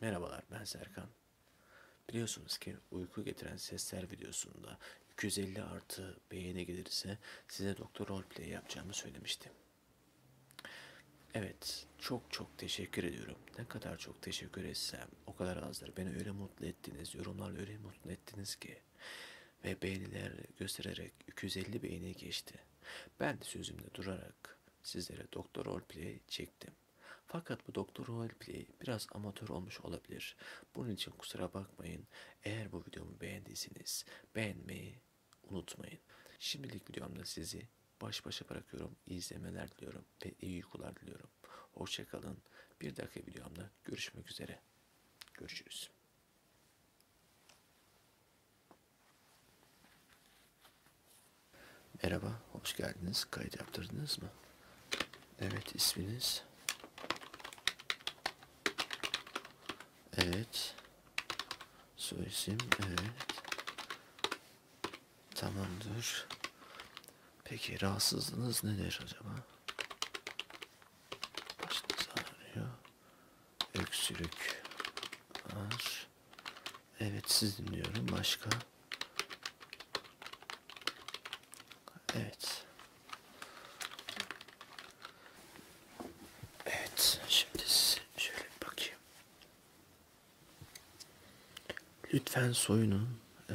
Merhabalar ben Serkan. Biliyorsunuz ki uyku getiren sesler videosunda 250 artı beğeni gelirse size doktor roleplay yapacağımı söylemiştim. Evet çok çok teşekkür ediyorum. Ne kadar çok teşekkür etsem o kadar azdır. Beni öyle mutlu ettiniz. Yorumlarla öyle mutlu ettiniz ki ve beğeniler göstererek 250 beğeni geçti. Ben de sözümde durarak sizlere Doktor Roleplay çektim. Fakat bu Doktor Roleplay biraz amatör olmuş olabilir. Bunun için kusura bakmayın. Eğer bu videomu beğendiyseniz beğenmeyi unutmayın. Şimdilik videomda sizi baş başa bırakıyorum. İyi izlemeler diliyorum ve iyi uykular diliyorum. Hoşçakalın. Bir dakika videomda görüşmek üzere. Görüşürüz. Merhaba, hoş geldiniz. Kayıt yaptırdınız mı? Evet, isminiz? Evet. Soyisim, evet. Tamamdır. Peki, rahatsızlığınız nedir acaba? Başınız ağrıyor. Öksürük var. Evet siz dinliyorum. Başka? Evet. Evet. Şimdi size şöyle bir bakayım. Lütfen soyunun. Ee,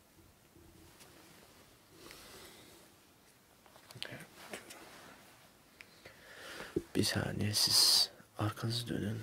Bir saniye siz arkanızı dönün.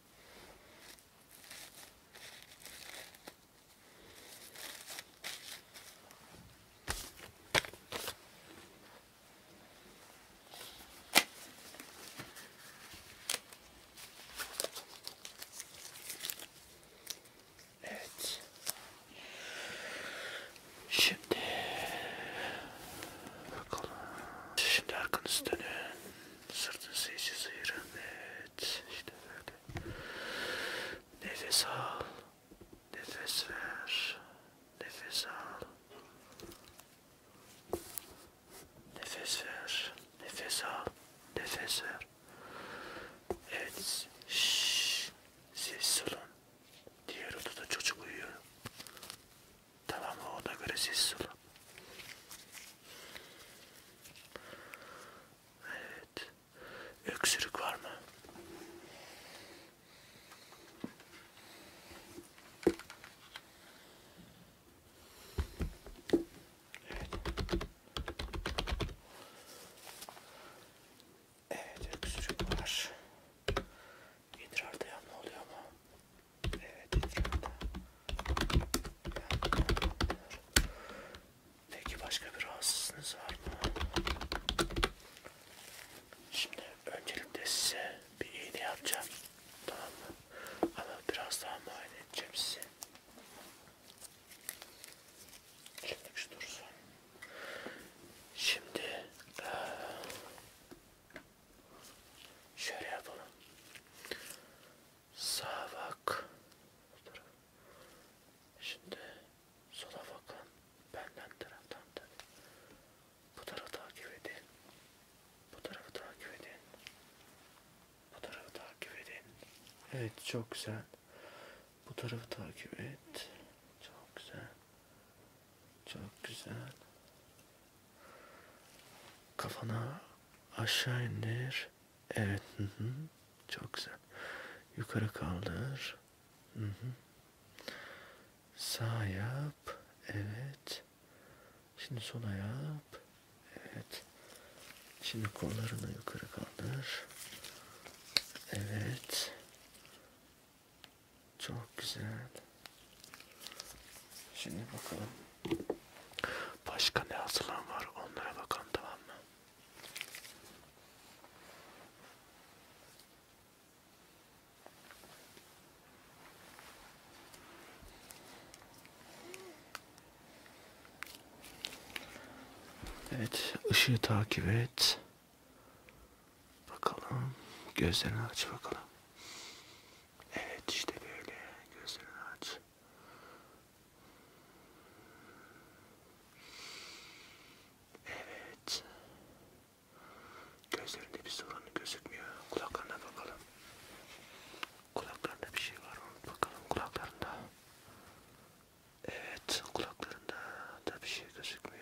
Evet. Şimdi bakalım. Şimdi arkanızı dönün. Sırtınızı iyice sıyırın. Evet. Evet işte böyle. Nefes al. Nefes ver. Nefes al. Nefes ver. Nefes al. Nefes ver. Evet. Şşş. Sessiz olun. Diğer odada çocuk uyuyor. Tamam ona göre sessiz olun. Evet. Öksürük var mı? Evet. Evet öksürük var. İdrarda yanma oluyor mu? Evet etrafta. Peki başka bir rahatsızlığınız var mı? Şimdi öncelikle size bir iğne yapacağım. Tamam mı? Ama biraz daha muayene edeceğim sizi. Şimdi şu dursun. Şimdi şöyle yapalım. Sağa bak. Şimdi sola bakın. Benden taraftan da. Bu tarafı takip edin. Bu tarafı takip edin. Bu tarafı takip edin. Evet çok güzel. Bu tarafı takip et. Çok güzel. Çok güzel. Kafana aşağı indir. Evet. Hı hı. Çok güzel. Yukarı kaldır. Hı hı. Sağ yap. Evet. Şimdi sola yap. Evet. Şimdi kollarını yukarı kaldır. Evet. Çok güzel. Şimdi bakalım. Başka ne asılan var onlara bakalım tamam mı? Evet, ışığı takip et. Bakalım. Gözlerini aç bakalım. Evet işte böyle. Gözlerini aç. Evet. Gözlerinde bir sorun gözükmüyor. Kulaklarına bakalım. Kulaklarında bir şey var mı? Bakalım kulaklarında. Evet, kulaklarında da bir şey gözükmüyor.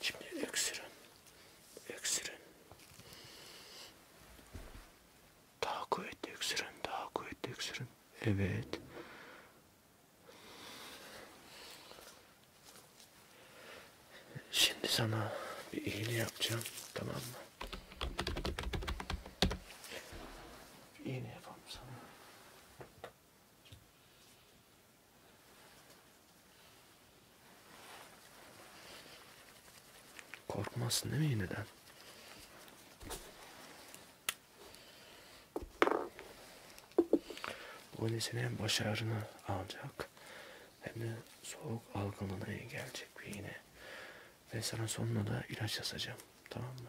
Şimdi öksürün. Öksürün. Daha kuvvetli öksürün. Daha kuvvetli öksürün. Evet. Şimdi sana bir iğne yapacağım. Tamam mı? Bir iğne yapalım sana. Korkmazsın değil mi yeniden? Bu nesini hem başarını alacak hem de soğuk algınlığına engelleyecek bir iğne. Ve sana sonuna da ilaç yazacağım. Tamam mı?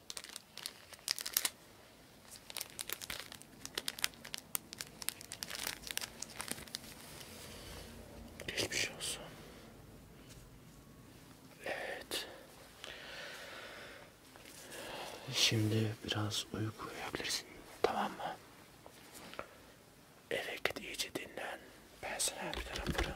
Geçmiş olsun. Evet. Şimdi biraz uyku uyuyabilirsin. Tamam mı? Eve git iyice dinlen. Ben sana bir tane fırın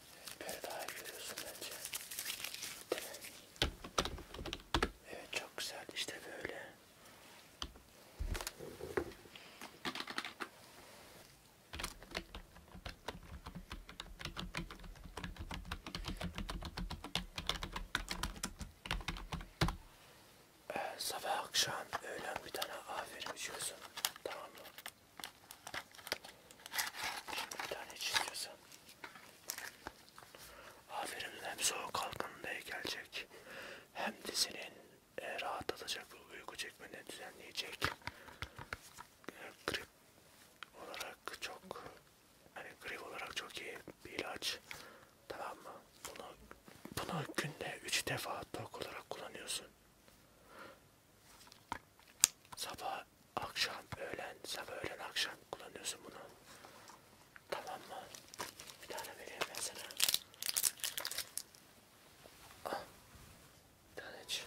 Evet böyle daha iyi görüyorsun bence. Değil mi? Evet çok güzel işte böyle. Ee, sabah akşam öğlen bir tane aferin içiyorsun. Tamam mı? Şimdi bir tane çiziyorsan. Aferin hem soğuk kalkanında gelecek hem de senin e, rahatlatacak uyku çekmeni düzenleyecek. E, grip olarak çok hani grip olarak çok iyi bir ilaç. Tamam mı? Bunu bunu günde 3 defa tok olarak kullanıyorsun. Sabah akşam, öğlen, sabah, öğlen, akşam kullanıyorsun bunu. Tamam mı? Bir tane vereyim ben sana. Al. Ah, bir tane iç.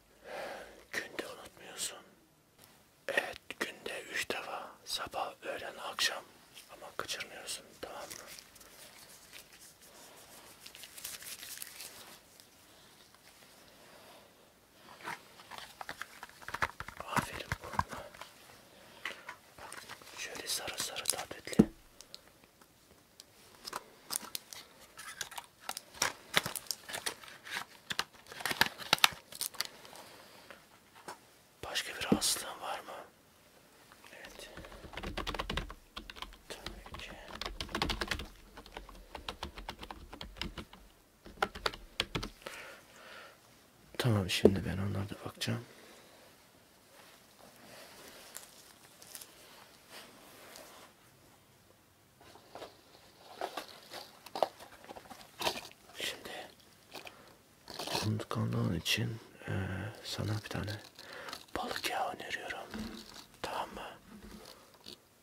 Günde unutmuyorsun. Evet günde üç defa sabah, öğlen, akşam ama kaçırmıyorsun tamam mı? Aferin burnuna. Bak şöyle sarı sarı tatlı. Başka bir hastalığın var mı? Evet. Tabii ki. Tamam şimdi ben onlara da bakacağım. Şimdi unutkanlığın için e, sana bir tane balık yağı öneriyorum. Tamam mı?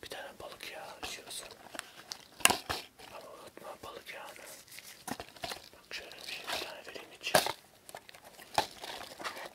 Bir tane balık yağı içiyorsun. Ama unutma balık yağını. Bak şöyle bir, şey, bir tane vereyim için.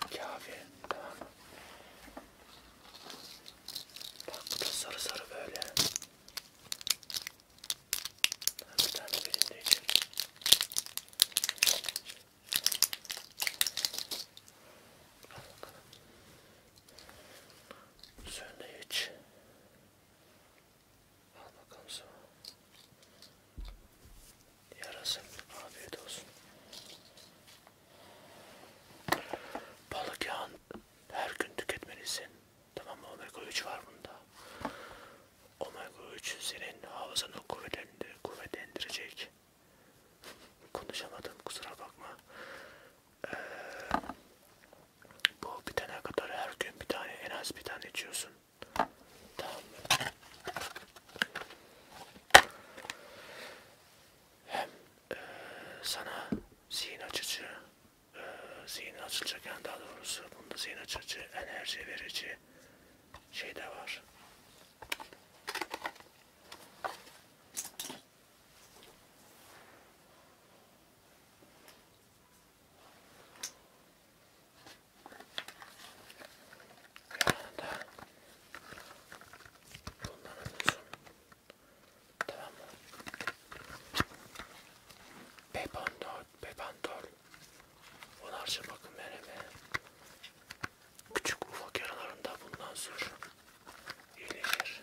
Kafi. Tamam mı? Bak bu da sarı sarı böyle. Bir tane birinde içelim. Sen de iç. Al bakalım sana. Yarasın. Afiyet olsun. Balık yağın her gün tüketmelisin. Tamam mı? Omega 3 var bunda. Omega 3 senin hafızanı kuvvetlendir kuvvetlendirecek. Konuşamadım kusura bakma. Ee, bu bitene kadar her gün bir tane en az bir tane içiyorsun. Tamam hem e, sana zihin açıcı e, zihin açılacak yani daha doğrusu bunda zihin açıcı enerji verici şey de var yanında Bundan alıyorsun. Tamam mı? Pepantol, pepantol. Onarca bakın vereme. Küçük ufak yaralarında bundan sür. İyileşir.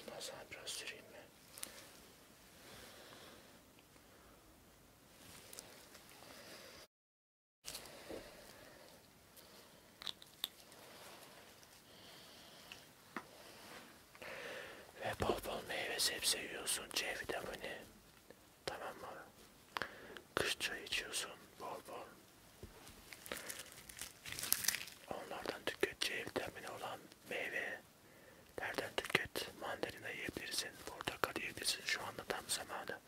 Bundan sonra biraz süreyim mi? Ve bol bol meyve sebze yiyorsun C vitamini. Tamam mı? Kış çayı içiyorsun bol bol. Onlardan tüketeceği vitamini olan meyve nereden tüket? Mandalina yiyebilirsin, portakal yiyebilirsin. Şu anda tam zamanı.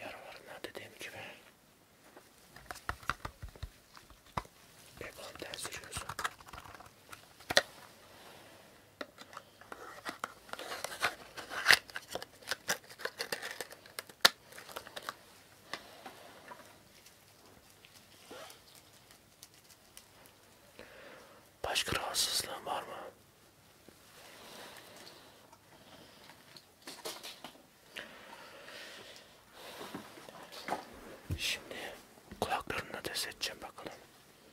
Yaralarına dediğim gibi Bekonten sürüyorsun. Başka rahatsızlığın var mı? Şimdi kulaklarını da test edeceğim bakalım.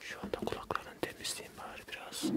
Şu anda kulaklarını temizleyeyim bari biraz. Evet.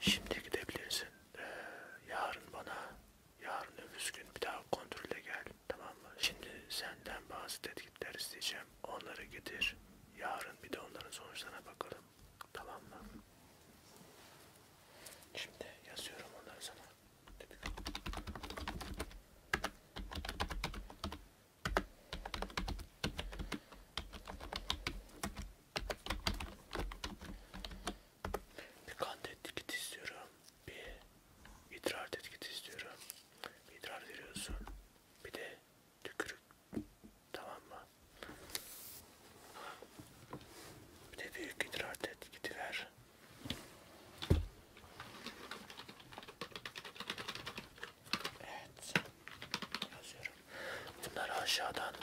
Şimdi gidebilirsin. Ee, yarın bana, yarın öbür gün bir daha kontrole gel. Tamam mı? Şimdi senden bazı tetkikler isteyeceğim. Onları getir. Yarın bir de onların sonuçlarına bakalım. Tamam mı? Şimdi yazıyorum onları sana. Bir kan tetkik istiyorum. Bir idrar tetkik istiyorum. Bir idrar veriyorsun. Bir de tükürük. Tamam mı? Bir de büyük idrar tetkik ver. Evet. Yazıyorum. Bunları aşağıdan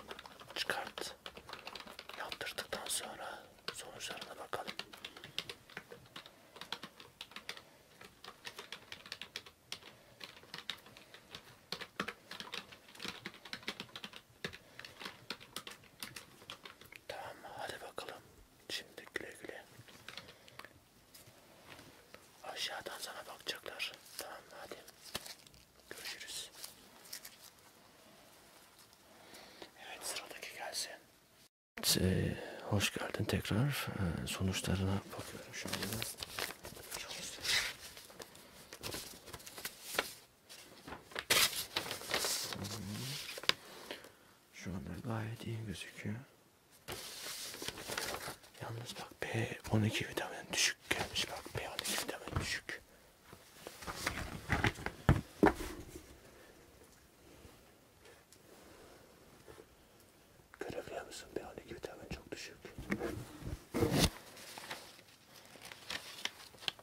çıkart. Yaptırdıktan sonra sonuçlarına bakalım. Tamam hadi bakalım. Şimdi güle güle. Aşağıdan sana bakacaklar. Tamam mı? Hadi. Görüşürüz. Evet sıradaki gelsin. Ee, hoş geldin tekrar. Ee, sonuçlarına bakıyorum şu anda. Şu anda gayet iyi gözüküyor. Yalnız bak B12 vitamin düşük gelmiş bak B12 vitamin düşük. Görebiliyor musun B12 vitamin çok düşük.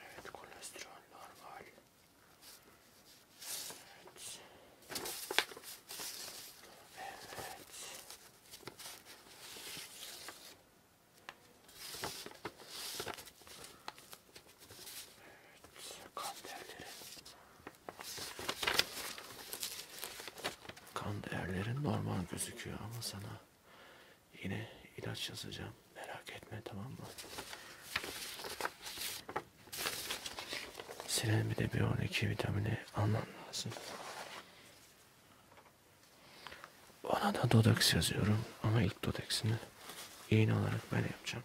Evet kolesterol normal. Evet. Evet. Evet, kan değerleri. Kan değerleri normal gözüküyor ama sana Yine ilaç yazacağım. Merak etme tamam mı? Senin bir de B12 vitamini alman lazım. Ona da Dodex yazıyorum ama ilk Dodex'ini iğne olarak ben yapacağım.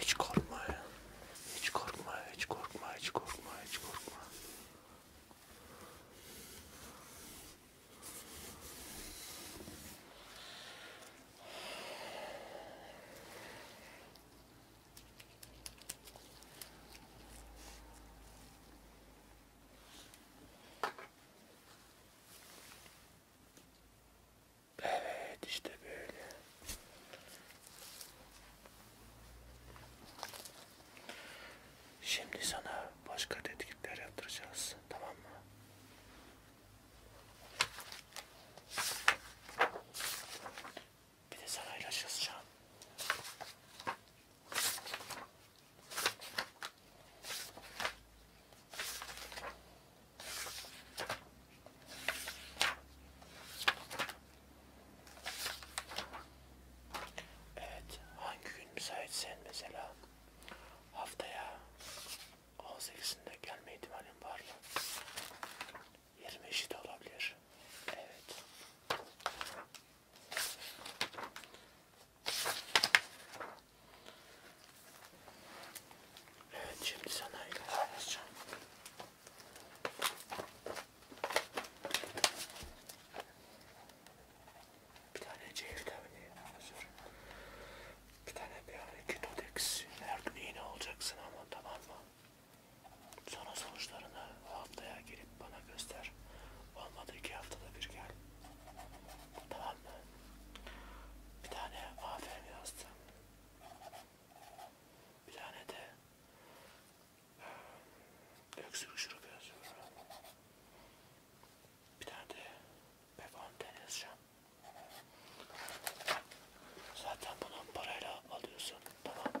Hiç korkma. Hiç korkma, hiç korkma, hiç korkma, hiç korkma. Evet işte böyle. Şimdi sana başka tetkikler yaptıracağız. Tamam mı? Bir de sana ilaç yazacağım. Evet, hangi gün müsaitsen mesela haftaya 18'inde gelme ihtimalim var mı? 25'i de olabilir. Evet. Evet şimdi sana ilaç vereceğim. Bir tane C vitamini hazır. Bir tane bir ketodex. Her gün iğne olacaksın ama tamam mı? Sonra sonuçlarını haftaya gelip bana göster. Olmadı iki haftada bir gel. Tamam mı? Bir tane aferin yazdım. Bir tane de öksürük şurubu yazıyorum. Bir tane de befonten yazacağım. Zaten bunu parayla alıyorsun. Tamam mı?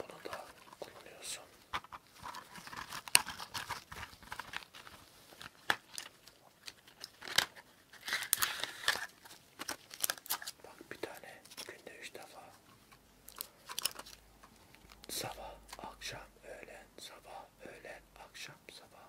Bunu da kullanıyorsun. Bak bir tane günde üç defa sabah, akşam, öğlen, sabah, öğlen, akşam, sabah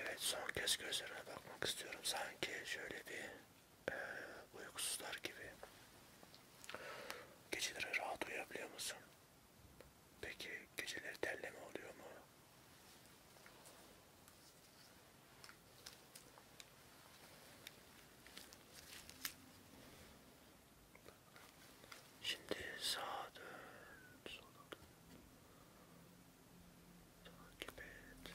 Evet son kez gözlerine bakmak istiyorum. Sanki şöyle bir e, uykusuzlar gibi. Geceleri rahat uyuyabiliyor musun? Peki geceleri terleme oluyor mu? Şimdi sağa dön, sola dön. Takip et.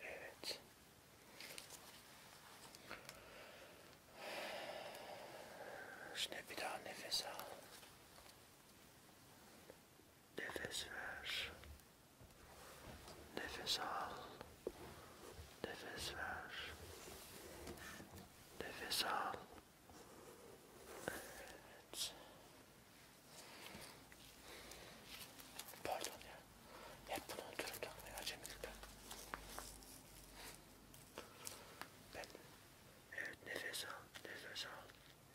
Evet. Şimdi bir daha nefes al. Nefes ver. Nefes al. Nefes ver. Nefes al. Evet. Pardon ya. Hep bunu unuturum takmayı acemilikten. Ben. Evet nefes al. Nefes al.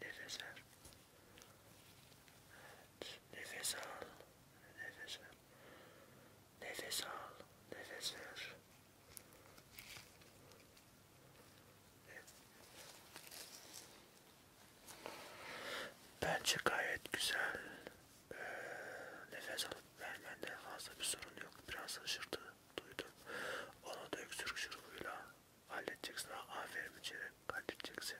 Nefes ver. Evet, nefes al. Nefes ver. Nefes al, nefes ver. Evet. Bence gayet güzel ee, nefes alıp vermende fazla bir sorun yok. Biraz hışırtı duydum. Onu da öksürük şurubuyla halledeceksin. Aferin içeri halledeceksin.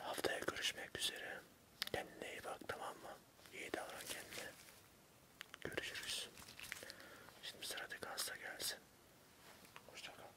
Haftaya görüşmek üzere. Kendine iyi bak tamam mı? İyi davran kendine. Görüşürüz. Şimdi sıradaki hasta gelsin. Hoşçakal.